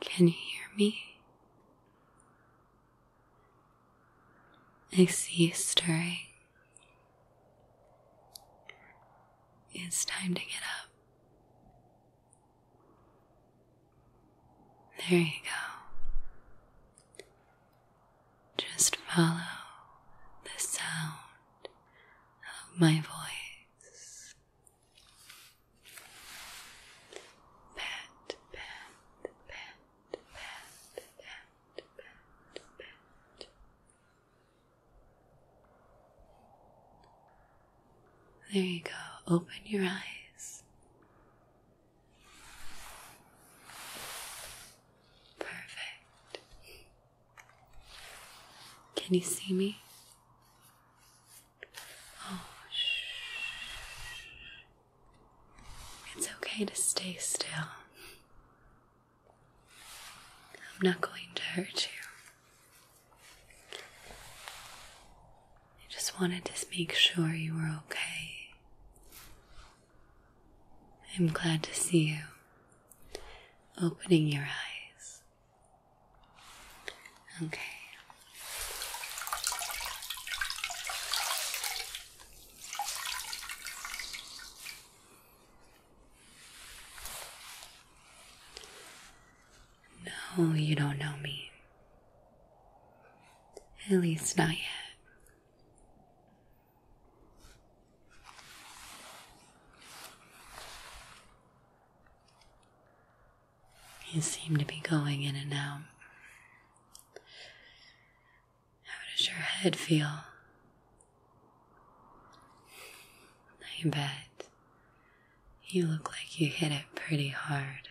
Can you hear me? I see you stirring. It's time to get up. There you go. Just follow the sound of my voice. Pat, pat, pat, pat, pat, pat, pat. There you go. Open your eyes. Perfect. Can you see me? Oh, shh. It's okay to stay still. I'm not going to hurt you. I just wanted to make sure you were okay. I'm glad to see you opening your eyes. Okay. No, you don't know me. At least not yet. You seem to be going in and out. How does your head feel? I bet you look like you hit it pretty hard.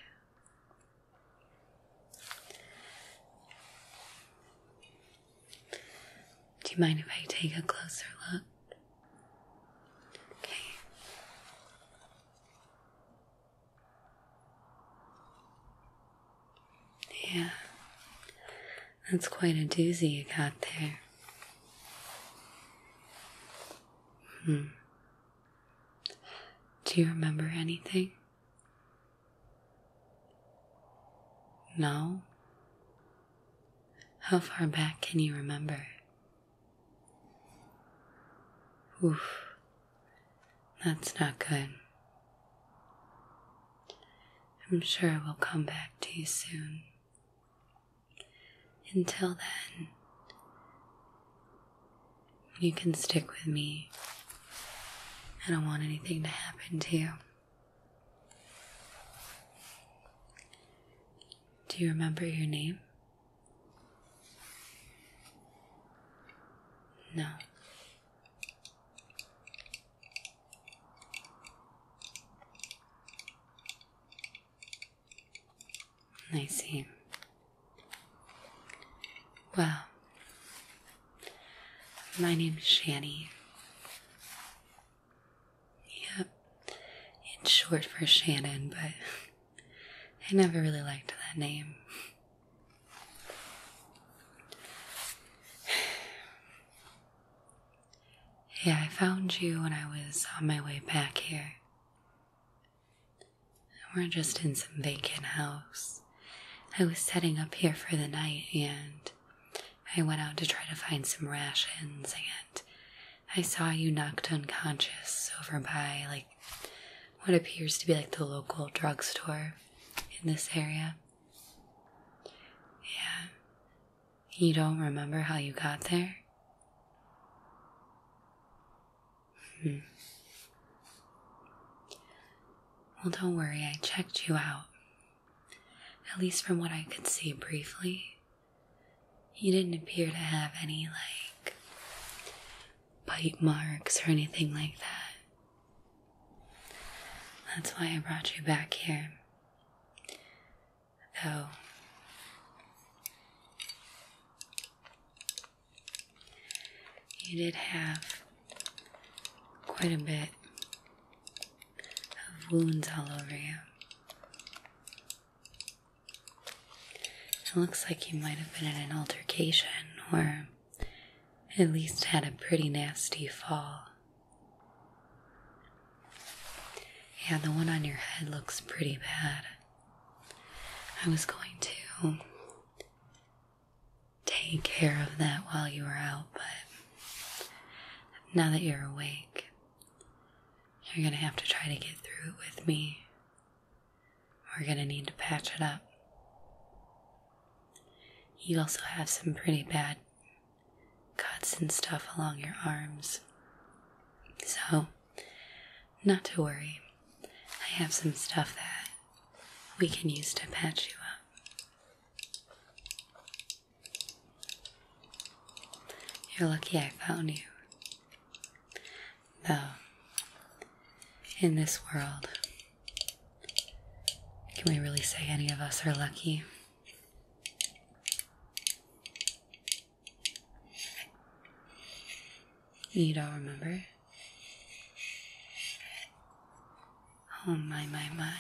Do you mind if I take a closer look? Yeah, that's quite a doozy you got there. Hmm. Do you remember anything? No? How far back can you remember? Oof, that's not good. I'm sure we'll come back to you soon. Until then, you can stick with me. I don't want anything to happen to you. Do you remember your name? No. I see. Well, my name is Shani. Yep, it's short for Shannon, but I never really liked that name. Yeah, I found you when I was on my way back here. We're just in some vacant house. I was setting up here for the night and I went out to try to find some rations and I saw you knocked unconscious over by like what appears to be like the local drugstore in this area. Yeah, you don't remember how you got there? Hmm. Well, don't worry, I checked you out. At least from what I could see briefly, you didn't appear to have any, like, bite marks or anything like that. That's why I brought you back here. Oh, you did have quite a bit of wounds all over you. It looks like you might have been in an altercation or at least had a pretty nasty fall. Yeah, the one on your head looks pretty bad. I was going to take care of that while you were out, but now that you're awake, you're gonna have to try to get through it with me. We're gonna need to patch it up. You also have some pretty bad cuts and stuff along your arms. So, not to worry. I have some stuff that we can use to patch you up. You're lucky I found you. Though, in this world, can we really say any of us are lucky? You don't remember? Oh my, my, my.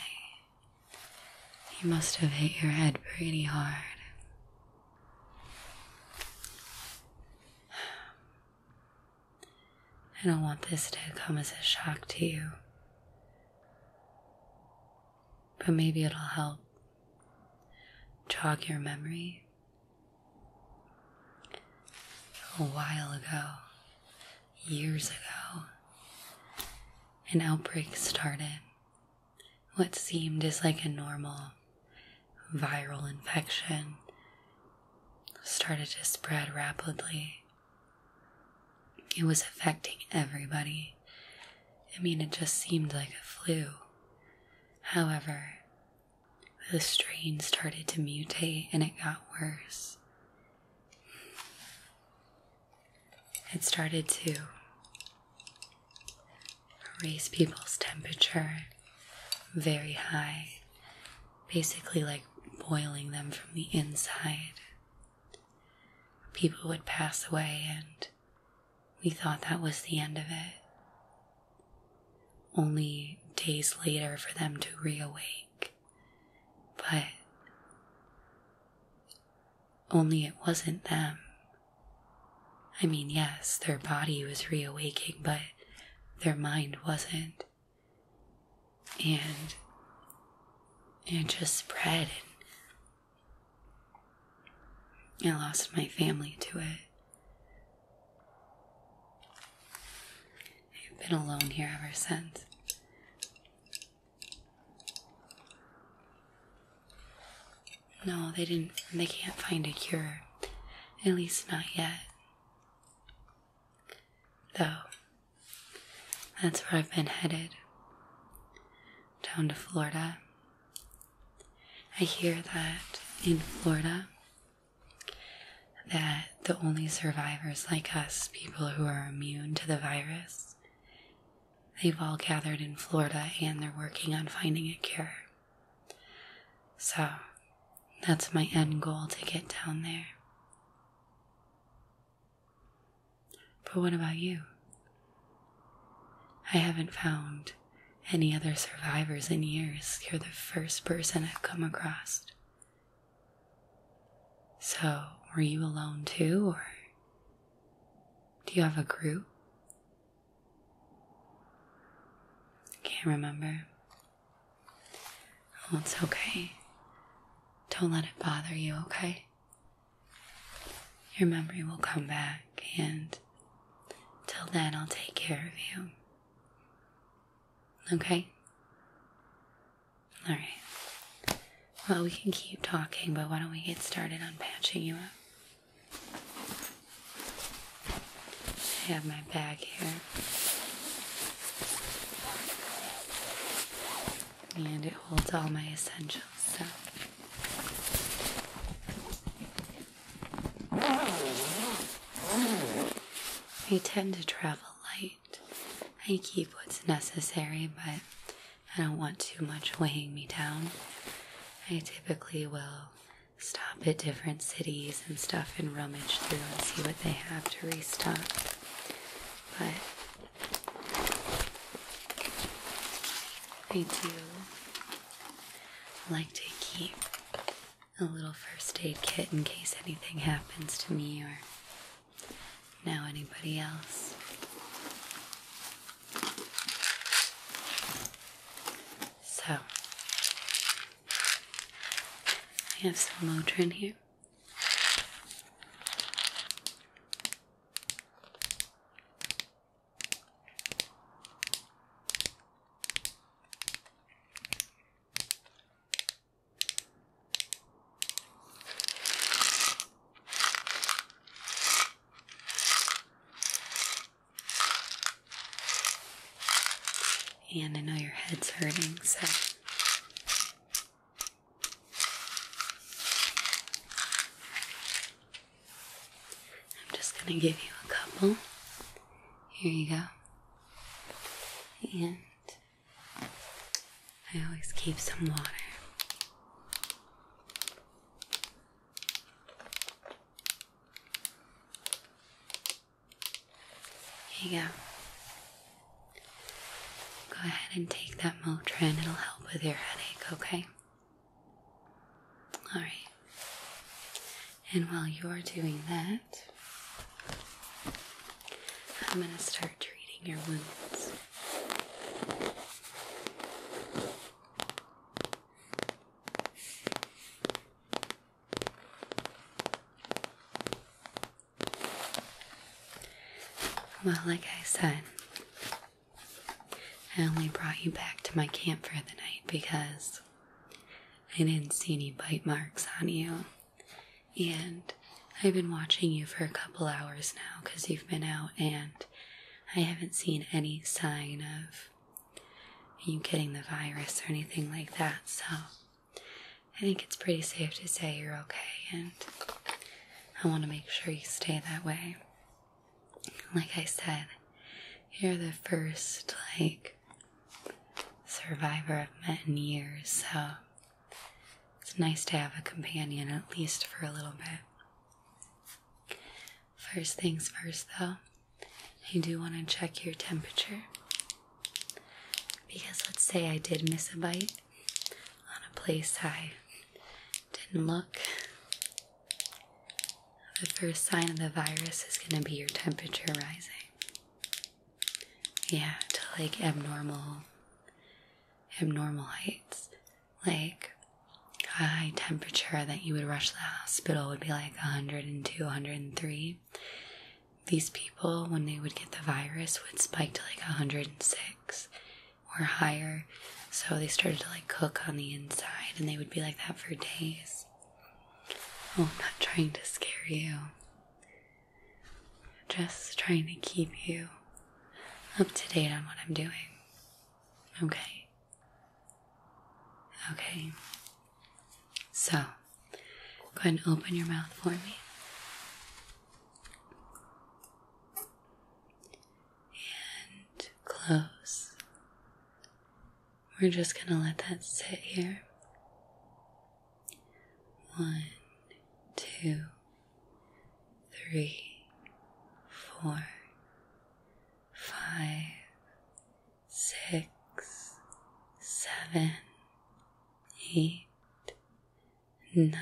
You must have hit your head pretty hard. I don't want this to come as a shock to you but maybe it'll help jog your memory. A while ago, years ago, an outbreak started. What seemed as like a normal viral infection started to spread rapidly it was affecting everybody. I mean, it just seemed like a flu. However, the strain started to mutate and it got worse. It started to raise people's temperature very high, basically like boiling them from the inside. People would pass away, and we thought that was the end of it. Only days later for them to reawake. But only it wasn't them. I mean, yes, their body was reawaking, but their mind wasn't. And it just spread and I lost my family to it. I've been alone here ever since. No, they didn't, they can't find a cure. At least not yet. Though, that's where I've been headed down to Florida. I hear that in Florida that the only survivors like us, people who are immune to the virus, they've all gathered in Florida and they're working on finding a cure. So that's my end goal to get down there. But what about you? I haven't found any other survivors in years. You're the first person I've come across. So, were you alone too, or do you have a group? Can't remember. Oh, it's okay. Don't let it bother you, okay? Your memory will come back, and till then, I'll take care of you. Okay? Alright. Well, we can keep talking, but why don't we get started on patching you up? I have my bag here. And it holds all my essentials, so I tend to travel light. I keep what's necessary, but I don't want too much weighing me down. I typically will stop at different cities and stuff and rummage through and see what they have to restock. But I do like to keep a little first aid kit in case anything happens to me or now anybody else. So, I have some Motrin here. And I know your head's hurting, so I'm just going to give you a couple. Here you go. And I always keep some water. Here you go. Go ahead and take that Motrin, it'll help with your headache, okay? All right. And while you're doing that, I'm going to start treating your wounds. Well, like I said, I only brought you back to my camp for the night because I didn't see any bite marks on you. And I've been watching you for a couple hours now because you've been out and I haven't seen any sign of you getting the virus or anything like that. So I think it's pretty safe to say you're okay and I want to make sure you stay that way like I said, you're the first like survivor I've met in years, so it's nice to have a companion at least for a little bit. First things first, though, I do want to check your temperature because let's say I did miss a bite, on a place I didn't look. The first sign of the virus is going to be your temperature rising. Yeah, to like abnormal, abnormal heights. Like a high temperature that you would rush to the hospital would be like 102, 103. These people, when they would get the virus, would spike to like 106 or higher. So they started to like cook on the inside and they would be like that for days. Oh, I'm not trying to scare you. Just trying to keep you up to date on what I'm doing. Okay. Okay. So, go ahead and open your mouth for me and close. We're just going to let that sit here. One, two, three, four, five, six, seven, eight, nine,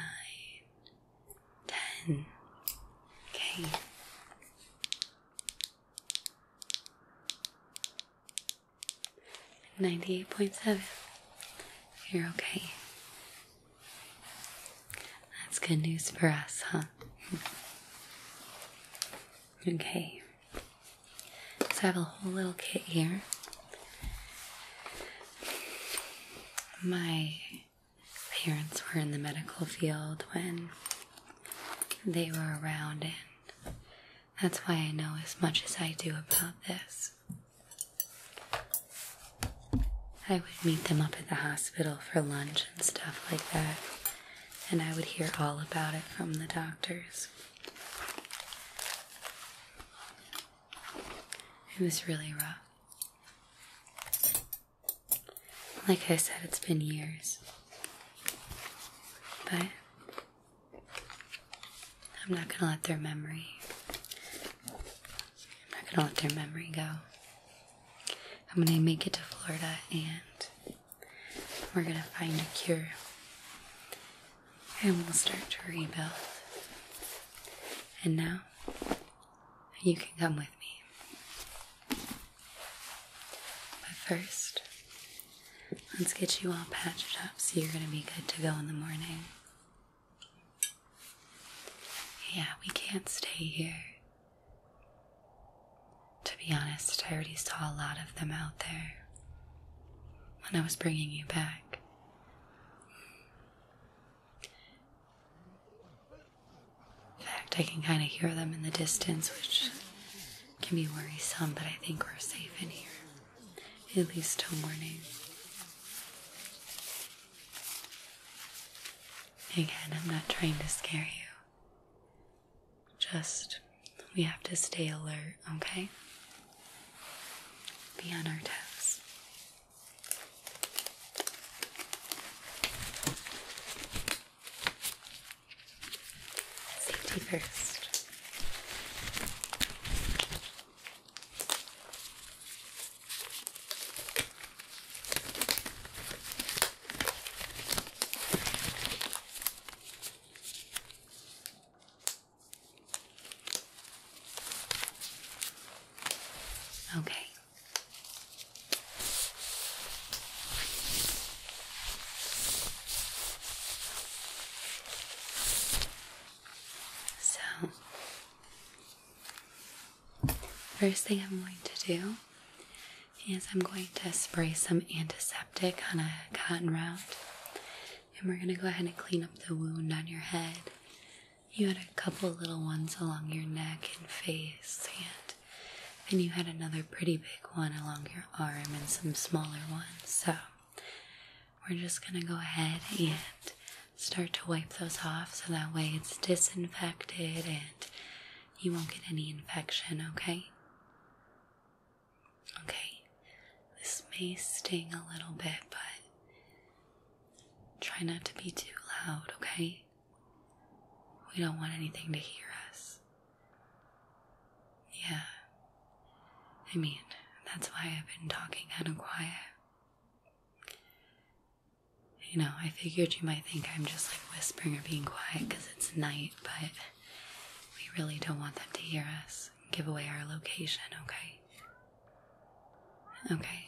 Ten. Okay. Ninety-eight point seven. You're okay. That's good news for us, huh? okay. So I have a whole little kit here. My parents were in the medical field when they were around, and that's why I know as much as I do about this. I would meet them up at the hospital for lunch and stuff like that, and I would hear all about it from the doctors. It was really rough. Like I said, it's been years. But I'm not going to let their memory. I'm not going to let their memory go. I'm going to make it to Florida and we're going to find a cure. And we'll start to rebuild. And now, you can come with me. But first, let's get you all patched up so you're going to be good to go in the morning. Yeah, we can't stay here. To be honest, I already saw a lot of them out there when I was bringing you back. In fact, I can kind of hear them in the distance, which can be worrisome, but I think we're safe in here, at least till morning. Again, I'm not trying to scare you. Just, we have to stay alert, okay? Be on our toes. Safety first. Okay, so, first thing I'm going to do is I'm going to spray some antiseptic on a cotton round, and we're going to go ahead and clean up the wound on your head you had a couple little ones along your neck and face, and and you had another pretty big one along your arm and some smaller ones. So we're just gonna go ahead and start to wipe those off so that way it's disinfected and you won't get any infection, okay? Okay, this may sting a little bit, but try not to be too loud, okay? We don't want anything to hear us. Yeah. I mean, that's why I've been talking kind of quiet. You know, I figured you might think I'm just like whispering or being quiet because it's night, but we really don't want them to hear us give away our location, okay? Okay,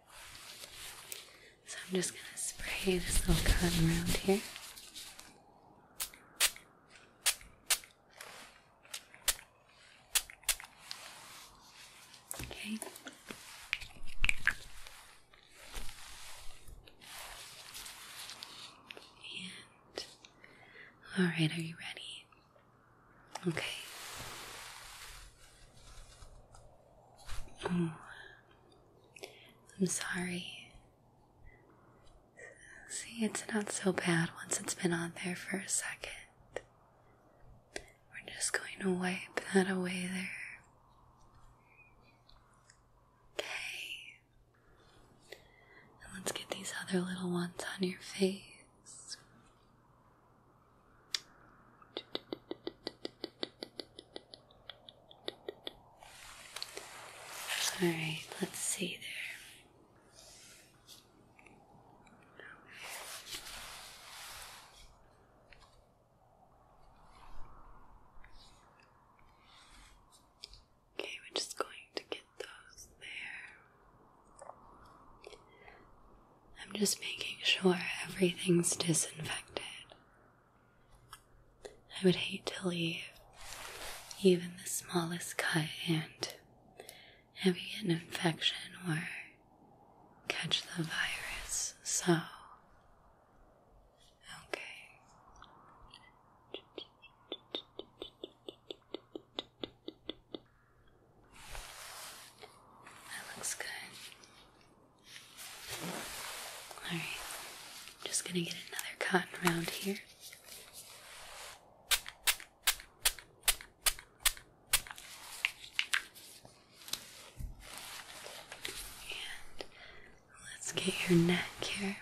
So I'm just going to spray this little cotton around here. Okay. And all right, are you ready? Okay. I'm sorry. See, it's not so bad once it's been on there for a second. We're just going to wipe that away there. Okay. And let's get these other little ones on your face. All right, let's see there. Okay, we're just going to get those there. I'm just making sure everything's disinfected. I would hate to leave even the smallest cut and have you get an infection or catch the virus. So, okay. That looks good. All right, I'm just gonna get another cotton round here. And let's get your neck here.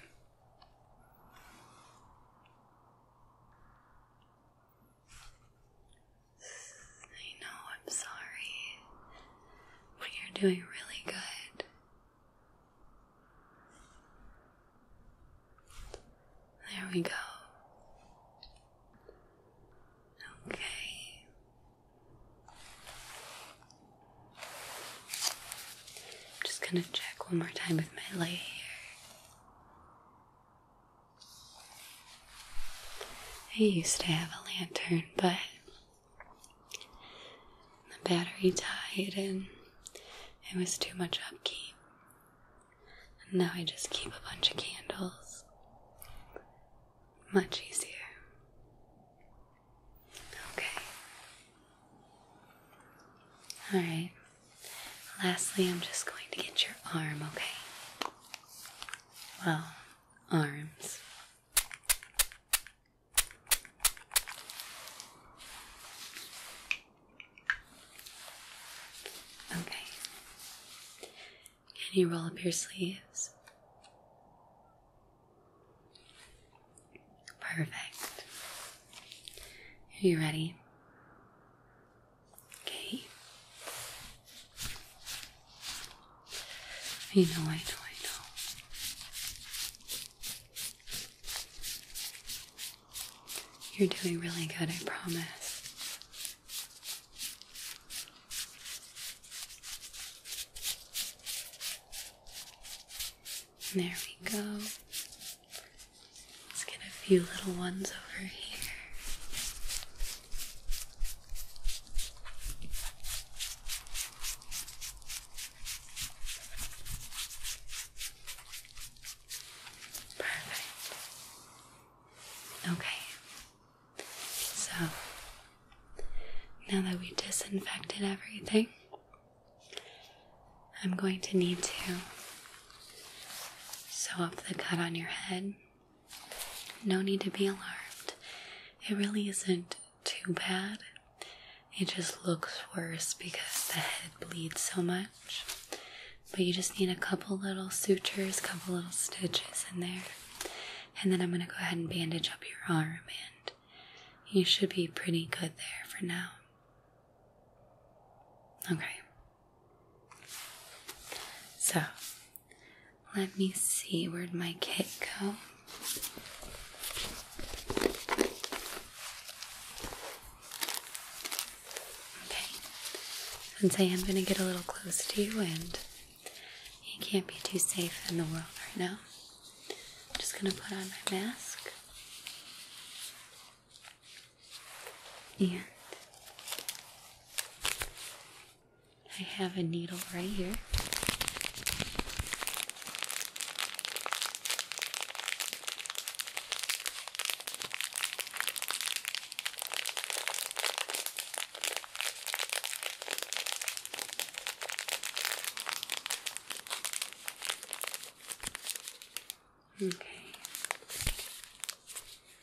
I know, I'm sorry, but you're doing really good. There we go. Okay. I'm just going to check one more time with my light here. I used to have a lantern, but the battery died and it was too much upkeep. And now I just keep a bunch of candles. Much easier. Okay. Alright. Lastly, I'm just going to get your arm, okay? Well, arms. Okay. Can you roll up your sleeves? Perfect. Are you ready? Okay. I know, I know, I know. You're doing really good, I promise. There we go. Let's get a few little ones over here. Perfect. Okay. So, now that we disinfected everything, I'm going to need to sew up the cut on your head no need to be alarmed. It really isn't too bad. It just looks worse because the head bleeds so much. But you just need a couple little sutures, a couple little stitches in there. And then I'm going to go ahead and bandage up your arm, and you should be pretty good there for now. Okay. So, let me see, where'd my kit go? Okay, say I am going to get a little close to you and you can't be too safe in the world right now, I'm just going to put on my mask and I have a needle right here. Okay.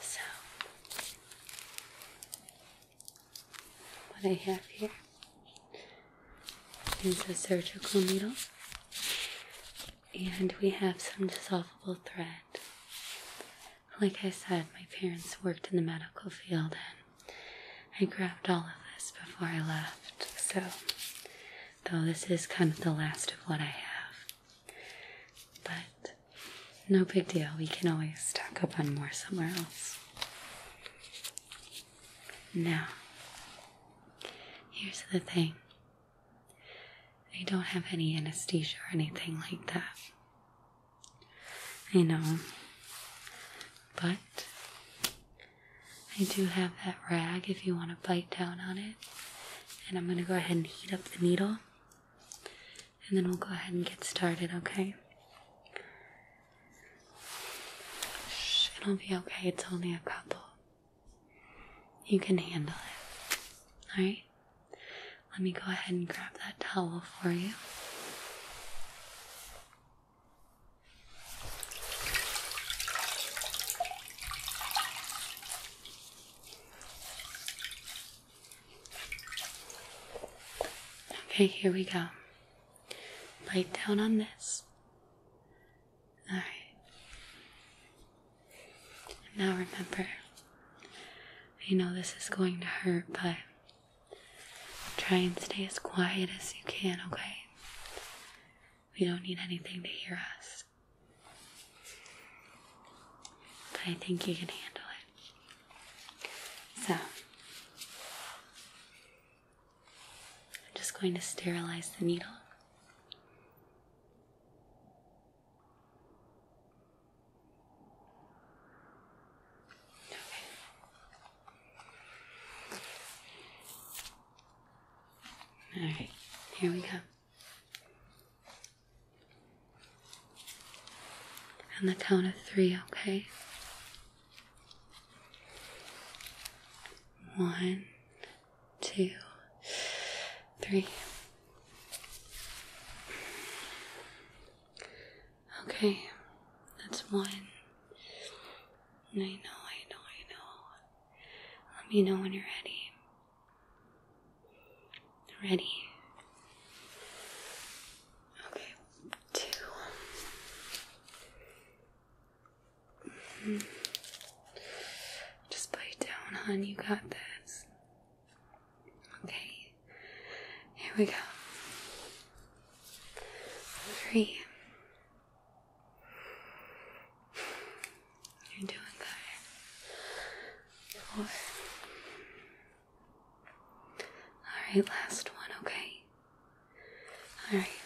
So, what I have here is a surgical needle, and we have some dissolvable thread. Like I said, my parents worked in the medical field, and I grabbed all of this before I left. So, though this is kind of the last of what I have, but no big deal, we can always talk up on more somewhere else. Now, here's the thing I don't have any anesthesia or anything like that. You know, but I do have that rag if you want to bite down on it and I'm going to go ahead and heat up the needle and then we'll go ahead and get started, okay? it'll be okay. It's only a couple. You can handle it. Alright? Let me go ahead and grab that towel for you. Okay, here we go. Bite down on this. Alright. Now remember, You know this is going to hurt, but try and stay as quiet as you can, okay? We don't need anything to hear us. I think you can handle it. So, I'm just going to sterilize the needle. Okay. All right, here we go. On the count of three, okay? One, two, three. Okay, that's one. I know, I know, I know. Let me know when you're ready. Ready? Okay, two. Just bite down, hon. You got this. Okay, here we go. Three. You're doing good. Four. Alright, last one, okay? Alright.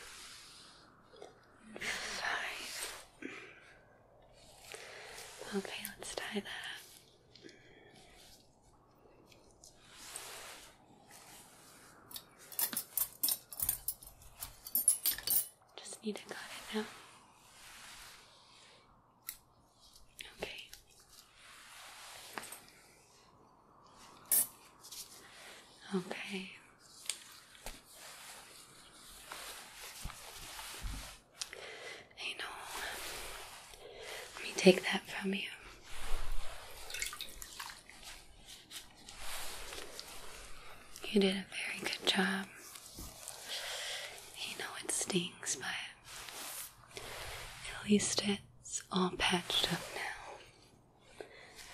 Five. Okay, let's tie that just need to cut it now. Okay. Okay. I know. Let me take that from you. You did a very good job. You know it stings, but at least it's all patched up now.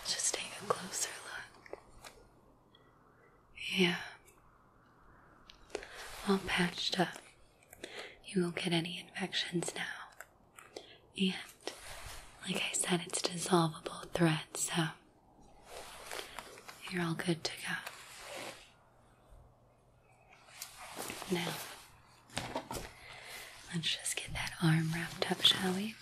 Just take a closer look. Yeah. All patched up. You won't get any infections now. And, like I said, it's dissolvable thread, so you're all good to go. Now, let's just get that arm wrapped up, shall we?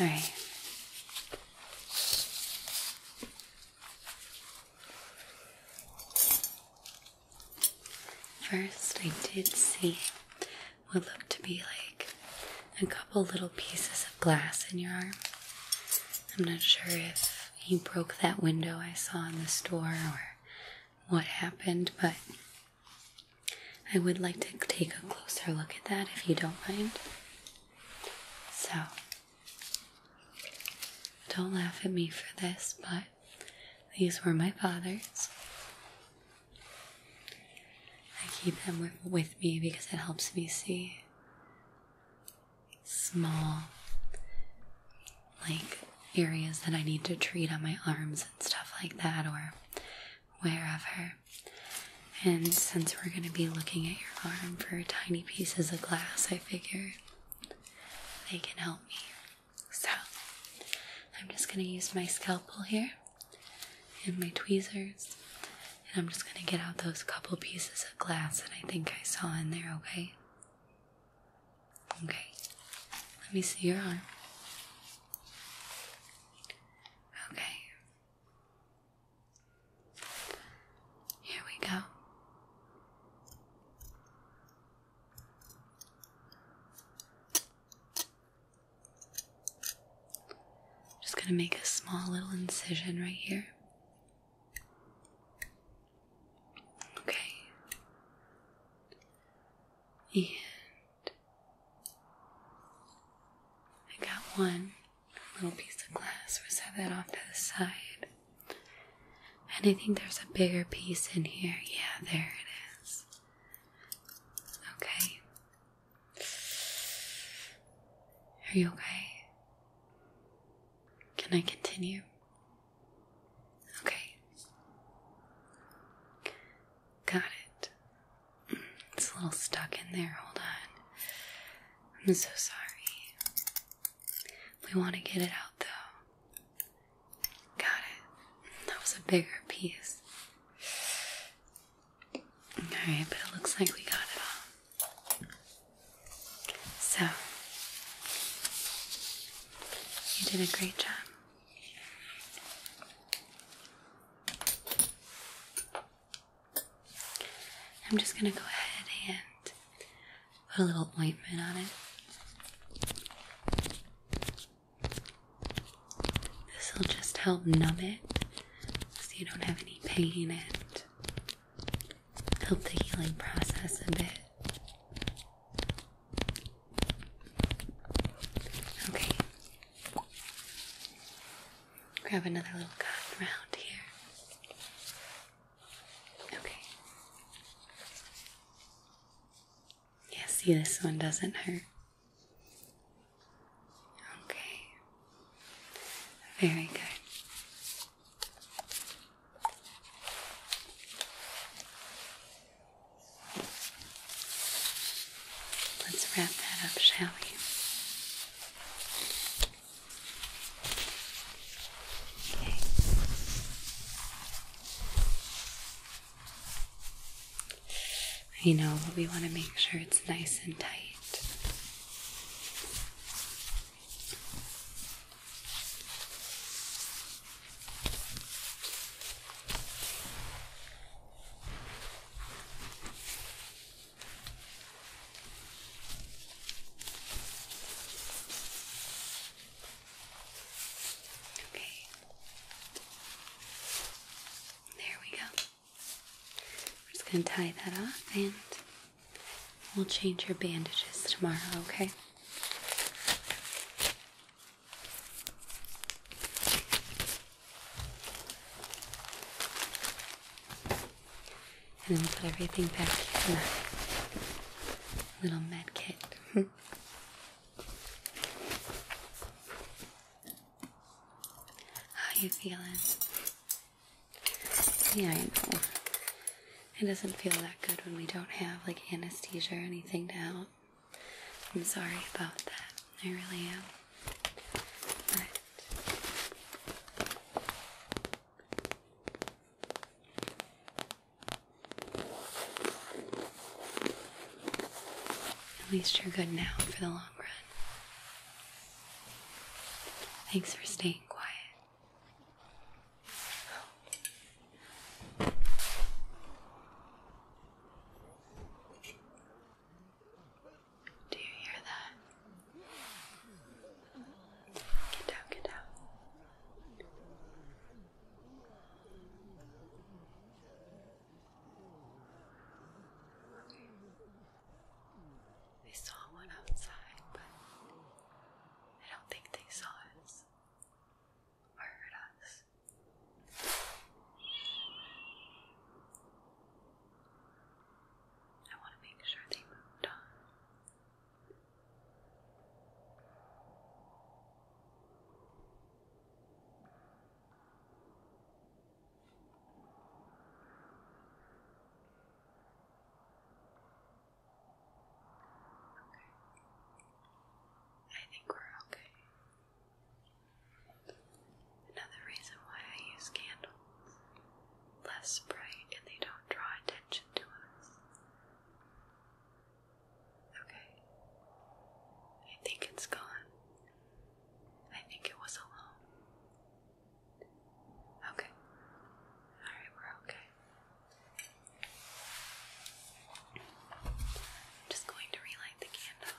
All right. First, I did see what look to be like a couple little pieces of glass in your arm. I'm not sure if you broke that window I saw in the store or what happened, but I would like to take a closer look at that if you don't mind. So, don't laugh at me for this, but these were my father's. I keep them with, me because it helps me see small, like areas that I need to treat on my arms and stuff like that, or wherever. And since we're going to be looking at your arm for tiny pieces of glass, I figure they can help me. So I'm just going to use my scalpel here and my tweezers, and I'm just going to get out those couple pieces of glass that I think I saw in there, okay? Okay, let me see your arm. Okay. Here we go. Just going to make a small little incision right here. Okay. And I got one little piece of glass. We'll set that off to the side. And I think there's a bigger piece in here. Yeah, there it is. Okay. Are you okay? Can I continue? Okay. Got it. It's a little stuck in there. Hold on. I'm so sorry. We want to get it out though. Got it. That was a bigger piece. Alright, but it looks like we got it all. So, you did a great job. I'm just going to go ahead and put a little ointment on it. This will just help numb it so you don't have any pain and help the healing process a bit. Okay. Grab another little cotton round here. Okay. Yeah, see, this one doesn't hurt. Okay. Very good. Let's wrap that up, shall we? Okay. You know, but we want to make sure it's nice and tight. Okay. There we go. We're just going to tie that off and we'll change your bandages tomorrow, okay? And then we'll put everything back in the little med kit. How you feeling? Yeah, I know. It doesn't feel that good when we don't have like anesthesia or anything to help. I'm sorry about that. I really am. at least you're good now for the long run. Thanks for staying quiet. Do you hear that? Get down, get down. They saw one outside, but I don't think they saw us or heard us. I want to make sure they moved on. I think we're okay. Another reason why I use candles. Less bright and they don't draw attention to us. Okay. I think it's gone. I think it was alone. Okay. Alright, we're okay. just going to relight the candle.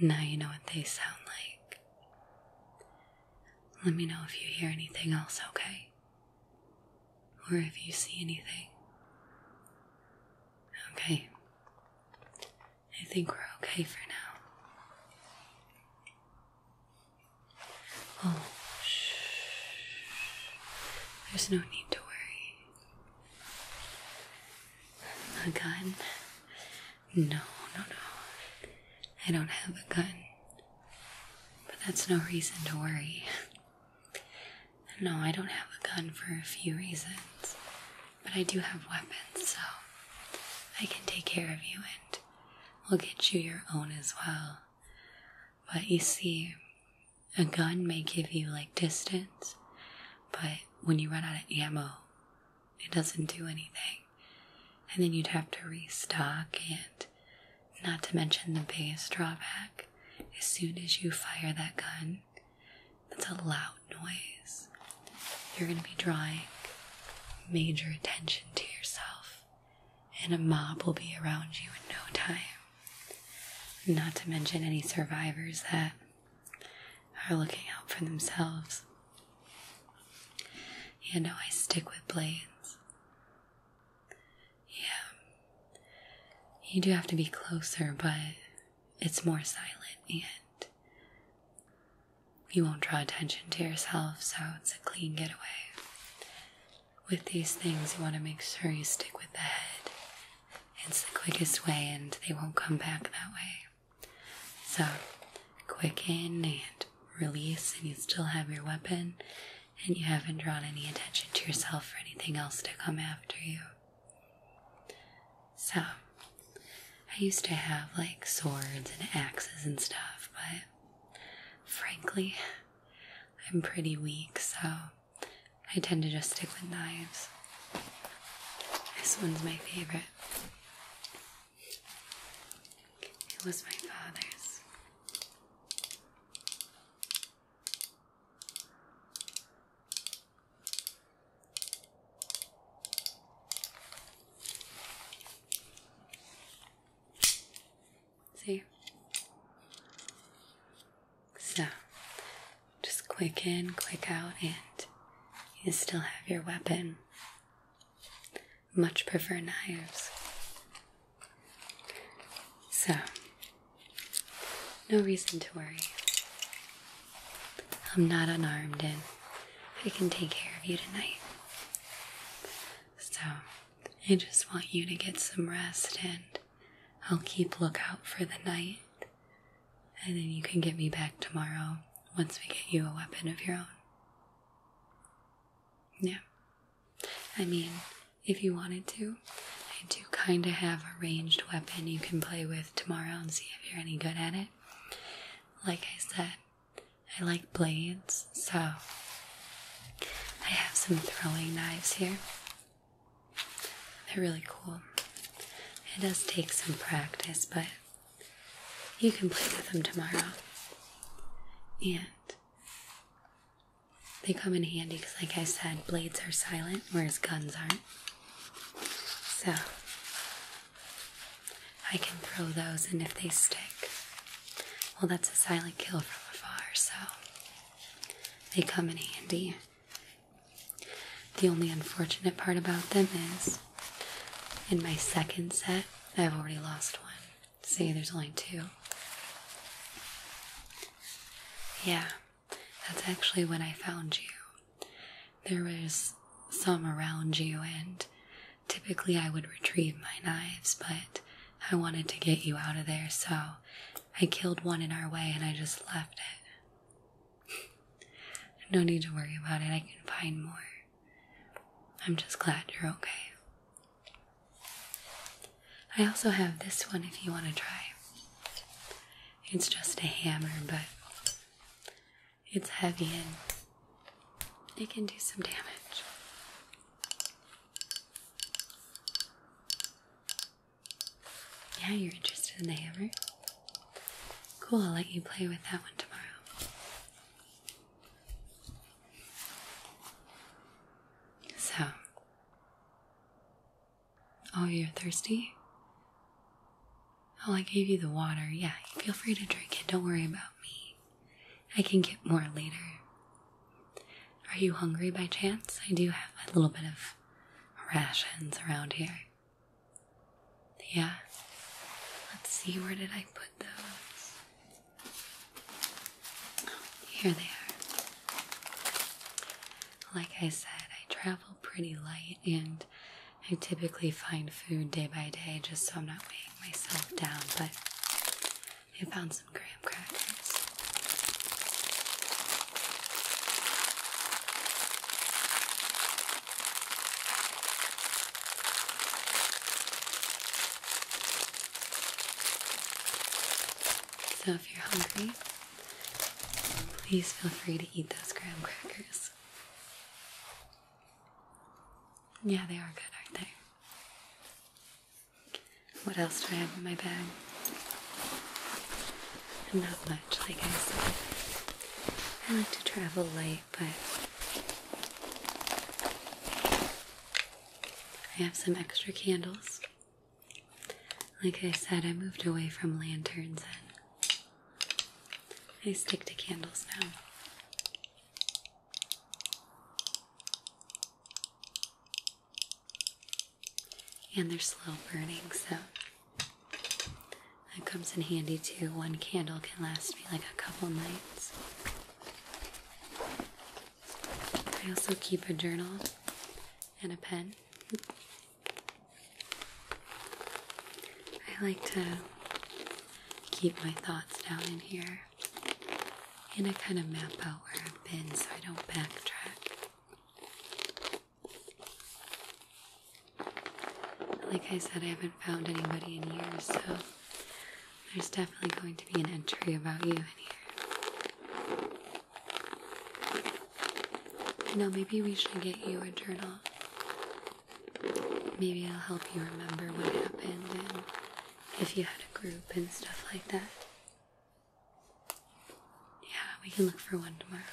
Now you know what they sound like. Let me know if you hear anything else, okay? Or if you see anything. Okay. I think we're okay for now. Oh, shh. There's no need to worry. Again, no, no, no. I don't have a gun. But that's no reason to worry. No, I don't have a gun for a few reasons. But I do have weapons, so I can take care of you and we'll get you your own as well. But you see, a gun may give you like distance, but when you run out of ammo, it doesn't do anything. And then you'd have to restock, and not to mention the biggest drawback. As soon as you fire that gun, that's a loud noise. You're going to be drawing major attention to yourself, and a mob will be around you in no time. Not to mention any survivors that are looking out for themselves. You know, I stick with blades. Yeah. You do have to be closer, but it's more silent and you won't draw attention to yourself, so it's a clean getaway. With these things, you want to make sure you stick with the head. It's the quickest way, and they won't come back that way. So quicken and release, and you still have your weapon, and you haven't drawn any attention to yourself or anything else to come after you. So, I used to have like swords and axes and stuff, but frankly, I'm pretty weak, so I tend to just stick with knives. This one's my favorite. It was my father's. See? So, just click in, click out, and you still have your weapon much prefer knives. So, no reason to worry. I'm not unarmed and I can take care of you tonight. So, I just want you to get some rest and I'll keep lookout for the night. And then you can get me back tomorrow once we get you a weapon of your own. Yeah. I mean, if you wanted to, I do kind of have a ranged weapon you can play with tomorrow and see if you're any good at it. Like I said, I like blades, so I have some throwing knives here. They're really cool. It does take some practice, but you can play with them tomorrow. And they come in handy because, like I said, blades are silent, whereas guns aren't. So I can throw those, and if they stick, well, that's a silent kill from afar, so they come in handy. The only unfortunate part about them is in my second set, I've already lost one. See, there's only two. Yeah, that's actually when I found you. There was some around you, and typically I would retrieve my knives, but I wanted to get you out of there, so I killed one in our way and I just left it. no need to worry about it, I can find more. I'm just glad you're okay. I also have this one if you want to try. It's just a hammer, but it's heavy and it can do some damage. Yeah, you're interested in the hammer? Cool, I'll let you play with that one tomorrow. So, oh, you're thirsty? Oh, I gave you the water. Yeah, feel free to drink it. Don't worry about me. I can get more later. Are you hungry by chance? I do have a little bit of rations around here. Yeah. Let's see, where did I put those? Here they are. Like I said, I travel pretty light and I typically find food day by day just so I'm not weighing myself down, but I found some graham crackers. So if you're hungry, please feel free to eat those graham crackers. Yeah, they are good, aren't they? What else do I have in my bag? Not much, like I said. I like to travel light, but I have some extra candles. Like I said, I moved away from lanterns and I stick to candles now. And they're slow burning, so that comes in handy too. One candle can last me like a couple nights. I also keep a journal and a pen. I like to keep my thoughts down in here and I kind of map out where I've been so I don't backtrack. Like I said, I haven't found anybody in years, so there's definitely going to be an entry about you in here. You know, maybe we should get you a journal. Maybe i will help you remember what happened and if you had a group and stuff like that. Yeah, we can look for one tomorrow.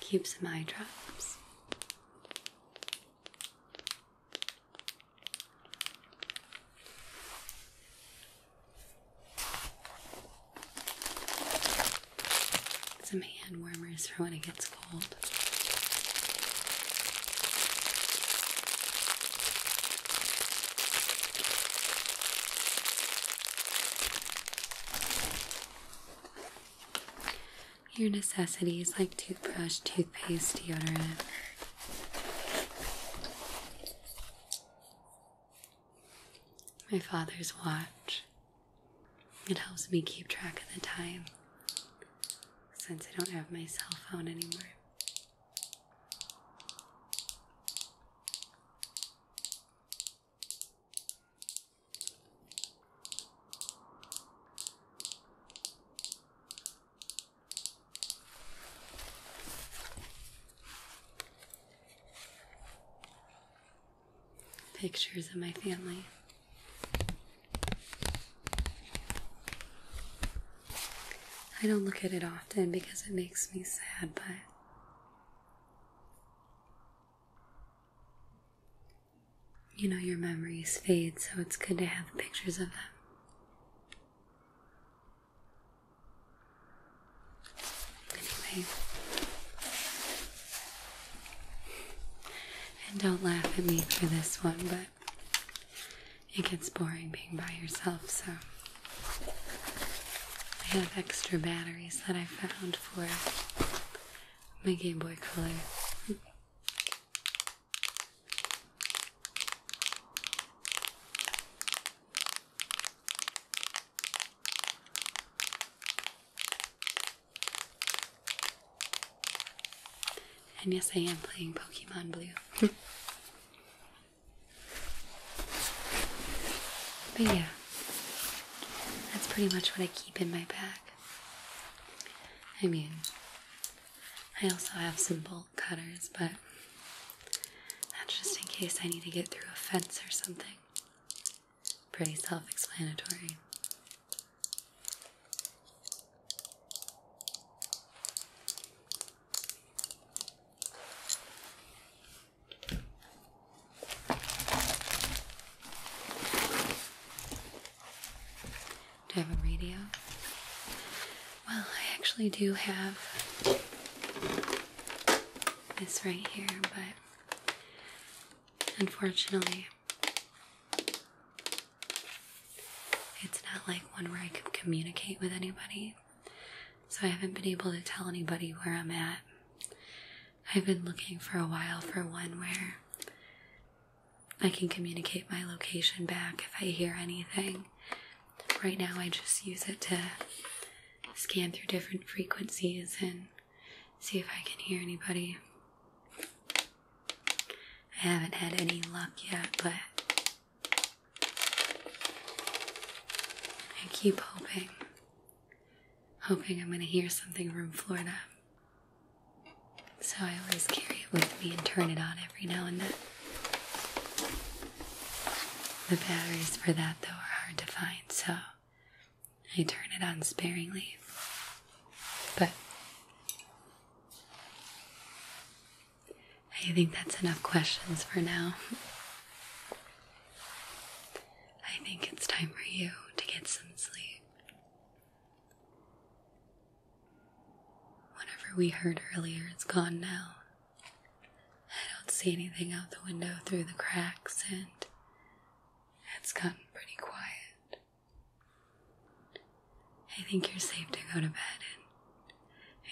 Keep some eye drops. Some hand warmers for when it gets cold. Your necessities like toothbrush, toothpaste, deodorant. My father's watch. It helps me keep track of the time since I don't have my cell phone anymore. Pictures of my family. I don't look at it often because it makes me sad, but you know, your memories fade, so it's good to have pictures of them. Anyway, and don't laugh at me for this one, but it gets boring being by yourself, so I have extra batteries that I found for my Game Boy Color. And yes, I am playing Pokemon Blue. but yeah, that's pretty much what I keep in my bag. I mean, I also have some bolt cutters, but just in case I need to get through a fence or something. Pretty self explanatory. Do I have a radio? Well, I actually do have this right here, but unfortunately, it's not like one where I can communicate with anybody. So I haven't been able to tell anybody where I'm at. I've been looking for a while for one where I can communicate my location back if I hear anything. Right now, I just use it to scan through different frequencies and see if I can hear anybody. I haven't had any luck yet, but I keep hoping hoping I'm going to hear something from Florida. So I always carry it with me and turn it on every now and then. The batteries for that, though, are hard to find, so I turn it on sparingly. But I think that's enough questions for now. I think it's time for you to get some sleep. Whatever we heard earlier it's gone now. I don't see anything out the window through the cracks, and it's gotten pretty quiet. I think you're safe to go to bed, and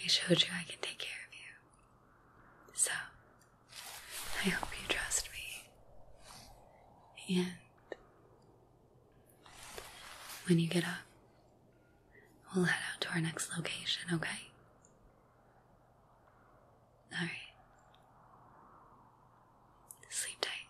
I showed you I can take care of you. So, I hope you trust me. And when you get up, we'll head out to our next location, okay? Alright. Sleep tight.